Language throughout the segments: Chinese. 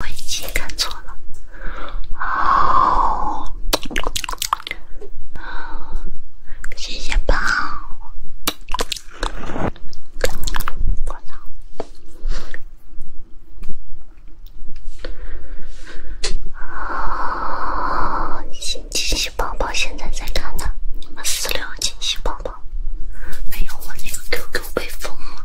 我已经看错了，好，惊喜包，我操，啊，惊喜宝宝现在在看呢，你们私聊惊喜宝宝，哎呦，我那个 QQ 被封了。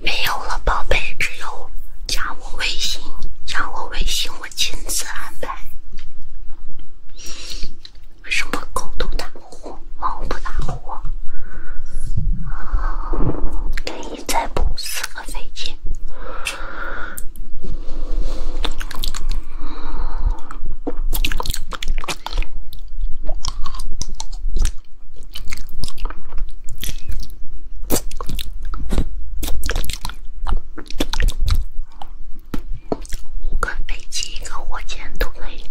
没有了，宝贝，只有加我微信，加我微信，我亲自安排。什么狗都打呼，猫不打呼？可以再补四个飞机。一个飞机，一个火箭都可以。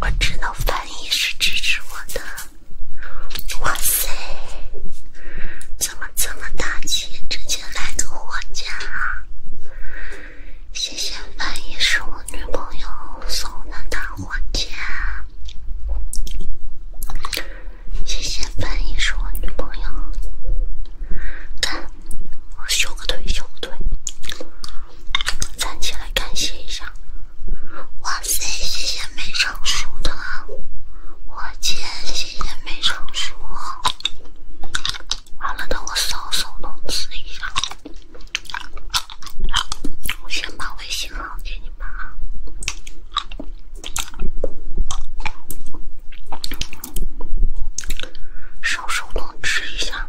我知道翻译是支持我的。哇塞！怎么这么大气？直接来个火箭啊！谢谢范姨，是我女朋友送的大火箭。谢谢范姨，是我女朋友。看，我修个腿，修个腿，站起来感谢一下。哇塞，谢谢没成熟，火箭，谢谢没成熟。完了，等我扫手弄吃一下。我先把微信号给你们啊，扫手弄吃一下。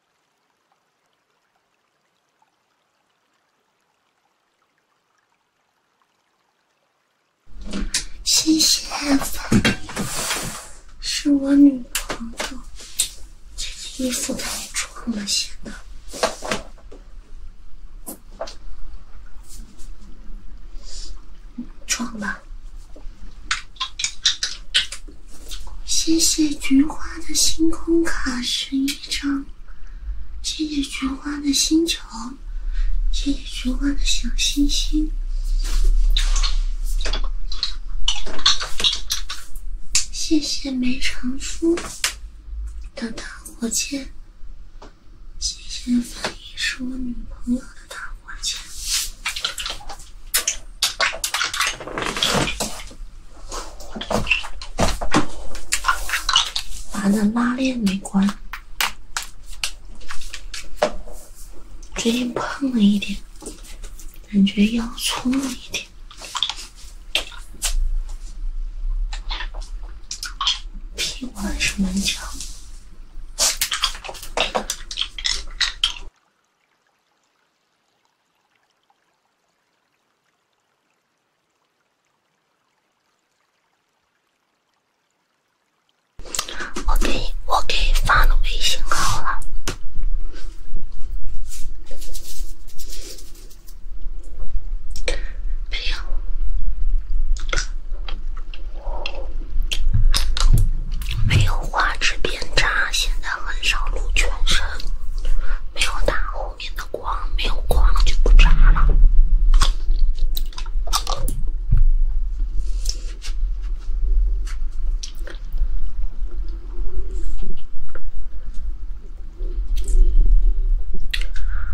谢谢，是我女朋友。这件衣服太重了些得。壮吧。谢谢菊花的星空卡十一张，谢谢菊花的星球，谢谢菊花的小星星，谢谢梅长苏的打火箭，谢谢翻译是我女朋友的打火箭。把那拉链没关，最近胖了一点，感觉腰粗了一点，屁股还是蛮翘。我给你，我给发了微信号了，没有，没有花纸币。变渣，现在很少露全身，没有打后面的光，没有光就不渣了。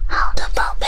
好的，宝贝。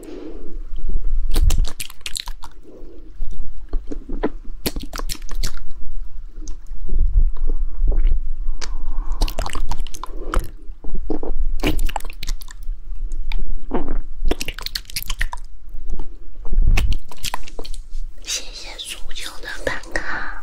谢谢苏九的办卡。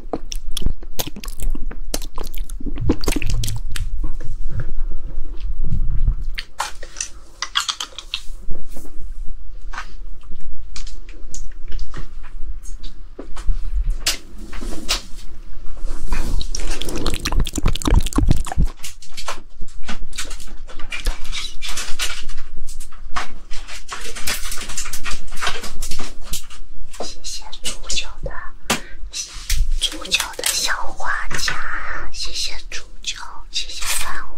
谢谢煮酒的。煮酒的小画家，谢谢煮酒，谢谢三五。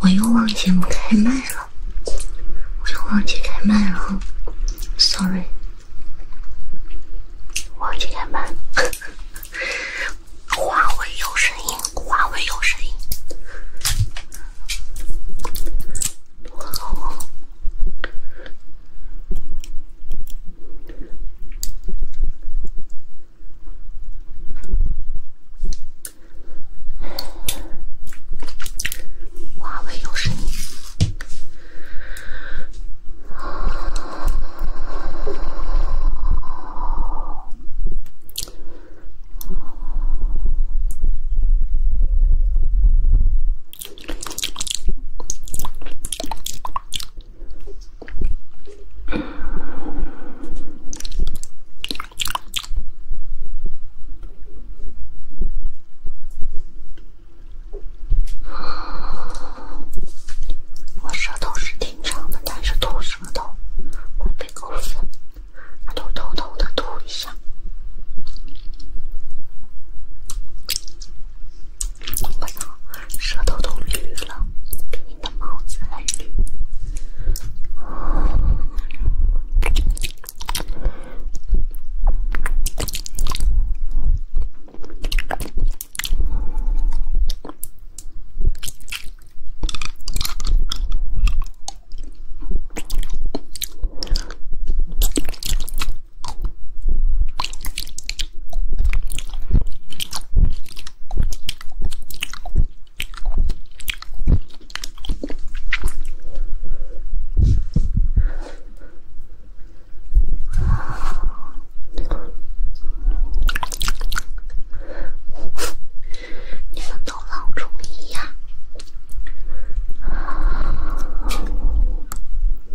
我又忘记开麦了，我又忘记开麦了，sorry，忘记开麦。华为有声音，华为有声音。多好啊！华为有声。我舌头是挺长的，但是吐舌头会被狗粉都偷偷的吐一下。我操，舌头都绿了，比你的帽子还绿。你们都老中医呀！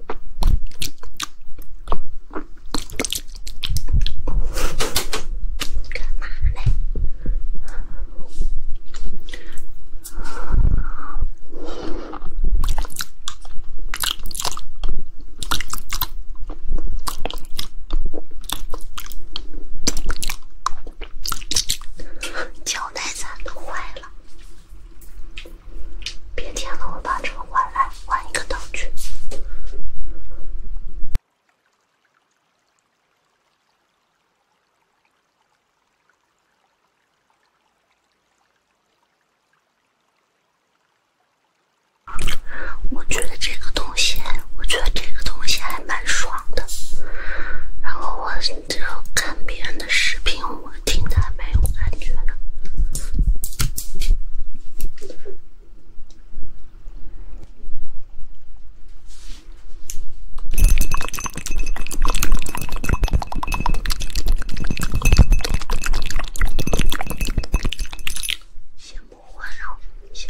干嘛呢？胶带咋都坏了？别舔了，我把这个换来换一个道具。我觉得这个东西，我觉得这个东西还蛮爽的。然后我。就看别人的视频，我听他没感觉了。先不换了，行。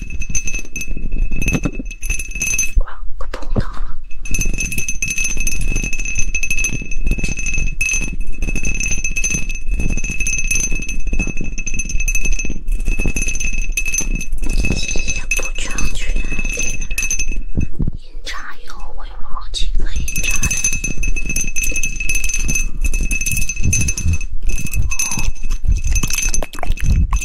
哇，快碰到了！音也不准确了，音差有，我有好几个音差的。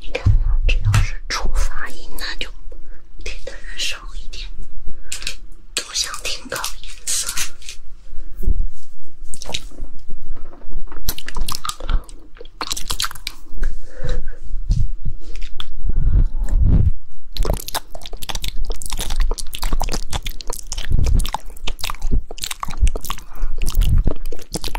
你看，只要是出发音，那就听的人少一点，都想听搞音色。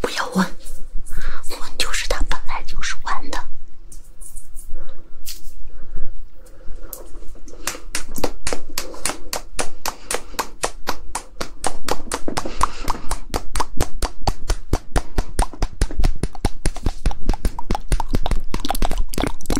不要问，问就是他本来就是弯的。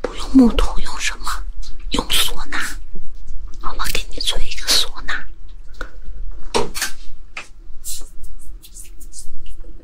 不用木头，用什么？用唢呐。妈妈给你做一个唢呐。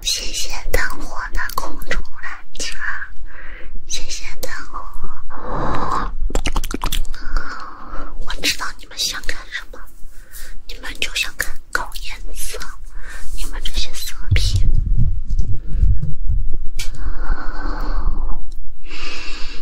谢谢灯火的空中缆车，谢谢灯火。我知道你们想看什么，你们就想看搞颜色，你们这些色皮。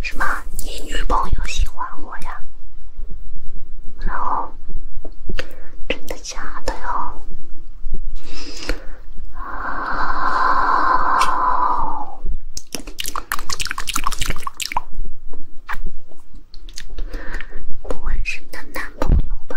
什么？你女朋友喜欢我呀？然后，真的假的哟？啊！不会是她男朋友吧？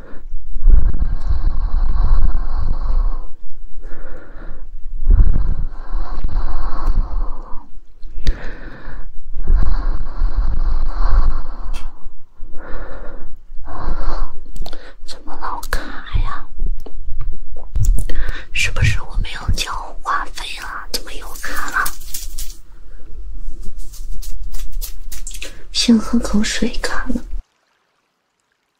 怎么老卡呀？是不是我没有交话费了？怎么又卡了？先喝口水，卡了。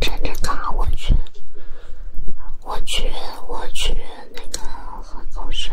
真尴尬，我去，我去，我去，那个喝口水。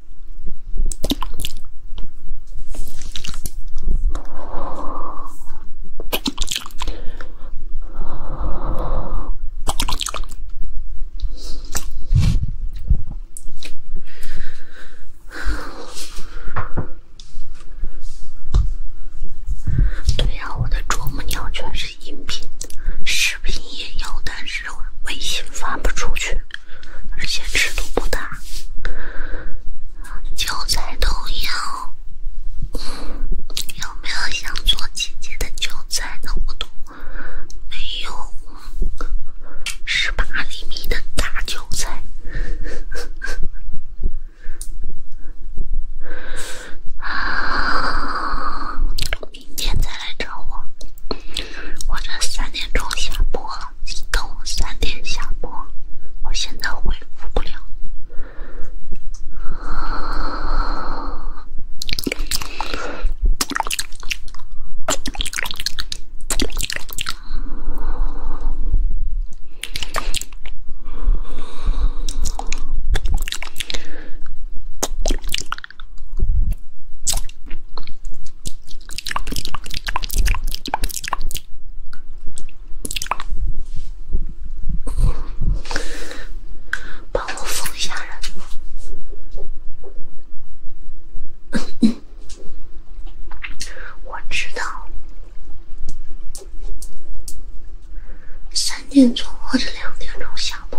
对呀，我的啄木鸟全是音频，视频也有，但是。微信发不出去，而且尺度不大。韭菜都要，有没有想做姐姐的韭菜的？我都没有，十八厘米的大韭菜。明天再来找我，我这三点钟下播，等我三点下播，我现在回复不了。帮我放下。嗯嗯，我知道。三点钟或者两点钟下播？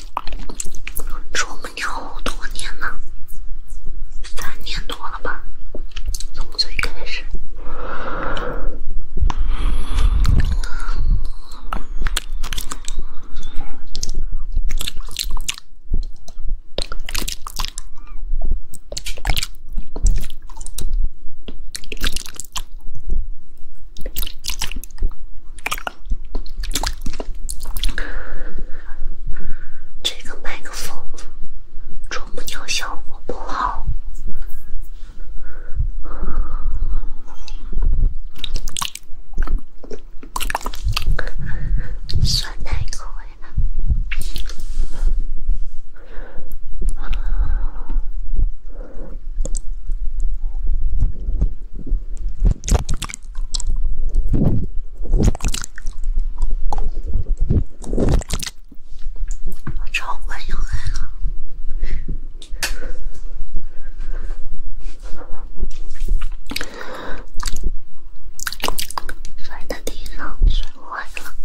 我们聊多年了，三年多了吧，从最开始。这个麦克风，啄木鸟效果不好。酸奶亏了。我超乖呀，还好。摔在地上，摔坏了。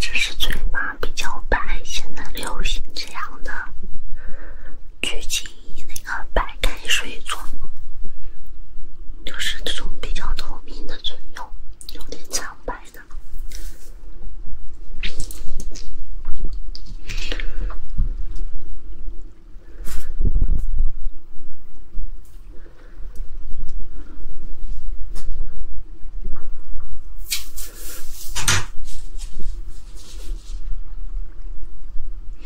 只是嘴巴比较白，现在流行这样的剧情。以那个白开水做，就是这种比较透明的唇釉，有点苍白的。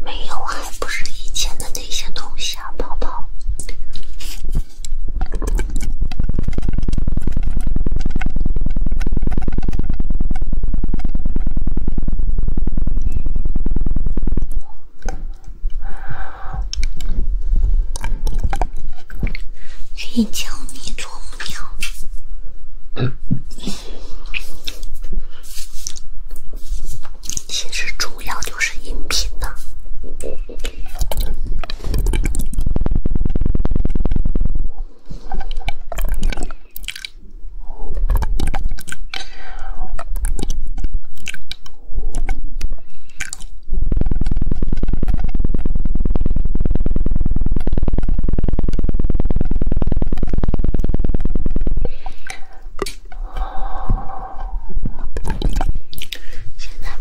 没有，还不是以前的那些东西啊，宝宝。可以教你做不鸟。其实主要就是音频的。现在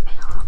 没有了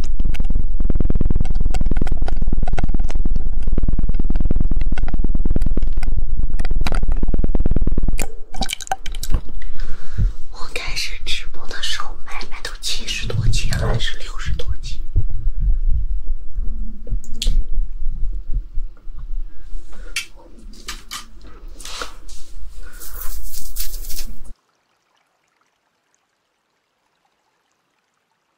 我开始直播的时候，买卖都七十多级，还是六十多级。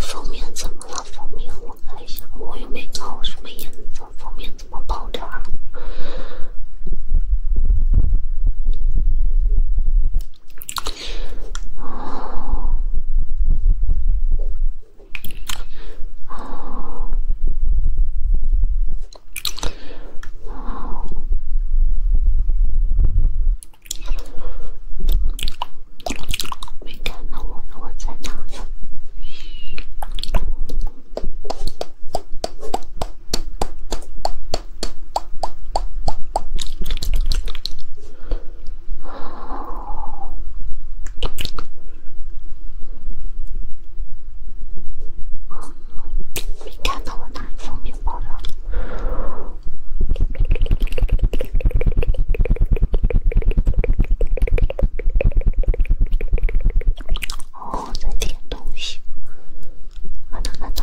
封面怎么了？封面我看一下，我又没搞什么颜色，封面怎么爆掉？没看到我，我在哪？没看到我拿充电宝了。哦，这点东西，看到看到。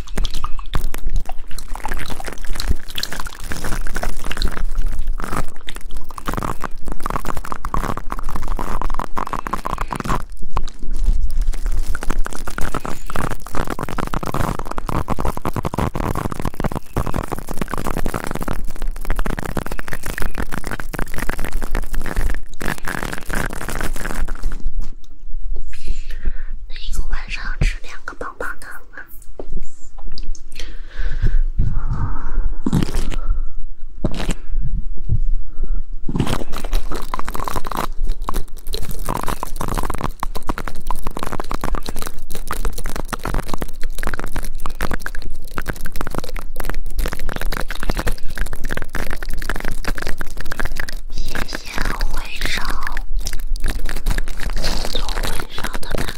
那一个晚上吃两个。棒棒糖啊！谢谢。宴会上，宴会上的那个。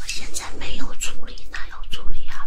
我现在没有处理，哪有处理啊？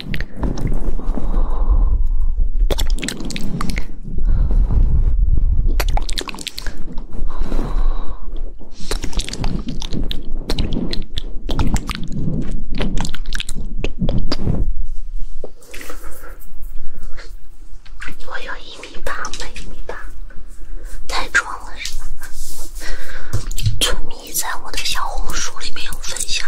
我有一米八吗？一米八，太壮了是吧？粗米在我的小红书里面有分享。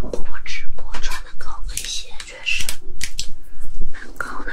我直播穿的高跟鞋确实蛮高的。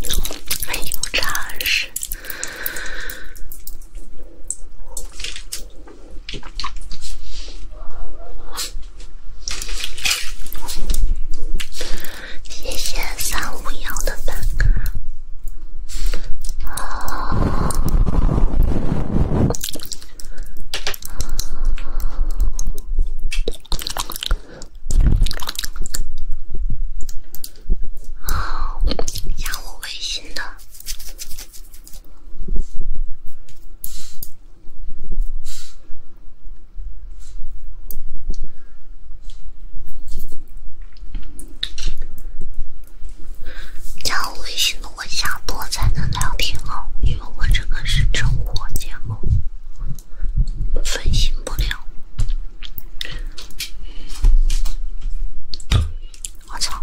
没有常识。谢谢三五幺的办卡。加我微信的，加我微信的，我下播才能聊天哦，因为我这个是真播节目。分心不了，我操！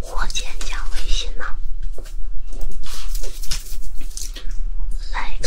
火箭加微信呢？来一个。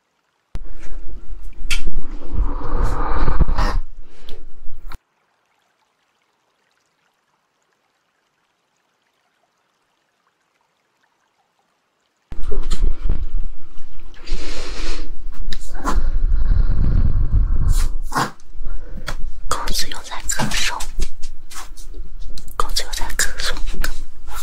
狗子又在咳嗽，狗子又在咳嗽。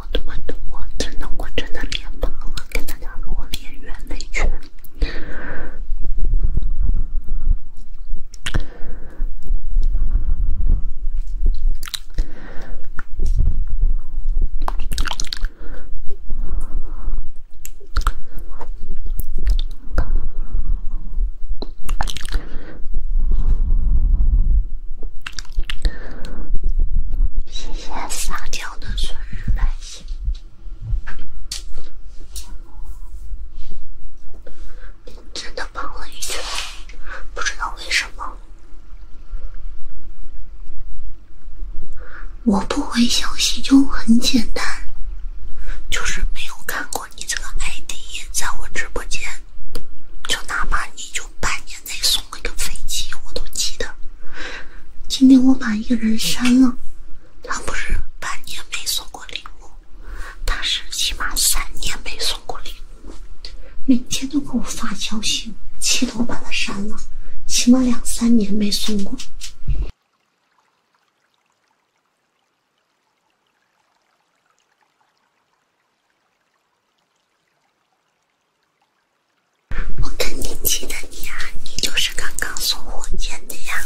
我真的，我真的，我真的脸胖了，给大家说，我练圆内圈。谢谢撒娇的生日来信。真的胖了一圈，不知道为什么。我不回消息就很简单，就是没有看过你这个 ID，在我直播间，就哪怕你就半年。再送个飞机，我都记得。今天我把一个人删了，他不是半年没送过礼物，他是起码三年没送过礼物，每天都给我发消息，气得我把他删了，起码两三年没送过。我肯定记得你啊，你就是刚刚送火箭的呀。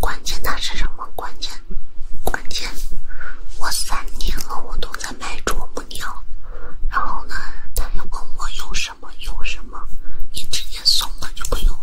关键它是什么关键？关键，我三年了，我都在卖啄木鸟。然后呢，他又问我有什么有什么，你直接送了就不用了。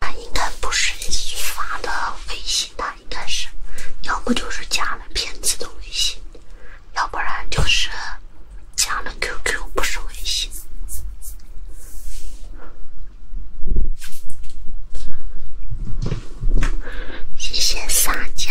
他应该不是发的微信，他应该是，要不就是加了骗子的微信，要不然就是加了 QQ，不是微信。谢谢撒娇。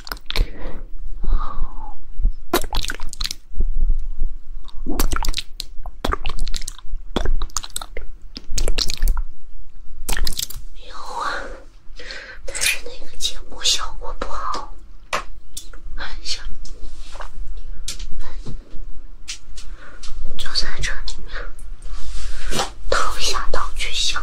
有啊，但是那个节目效果不好。来一下，就在这里面掏下掏去下。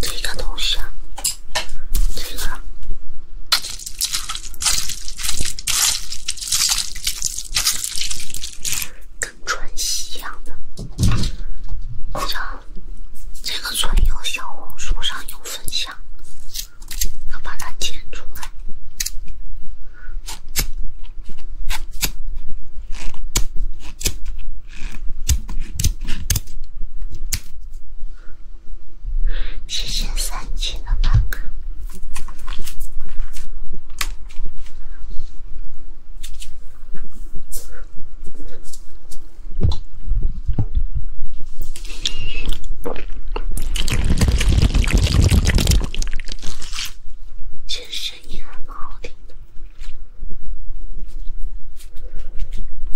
这个东西啊，这个跟春熙一样的，叫这个穿有小红书上有分享，要把它剪出来。谢谢三七的棒棒。这声音很好听的。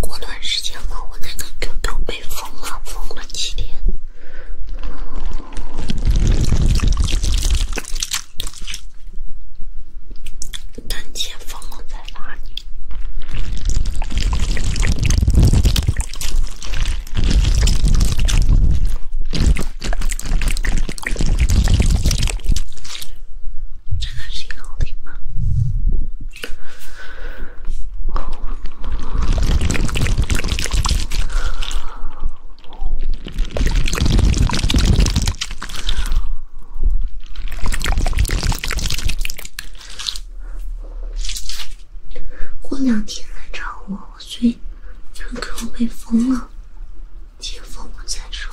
过段时间嘛，我那个 Q Q 被封了，封了几天。刚钱封了，在哪？过两天来找我，我最近 QQ 被封了，解封了再说。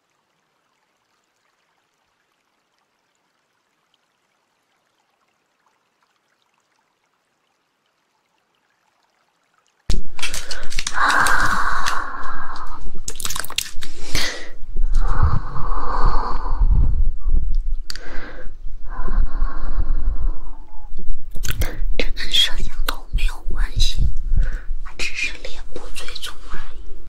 啊！这跟摄像头没有关系，只是脸部追踪而已。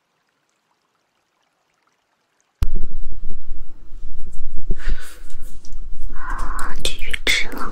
继续吃了。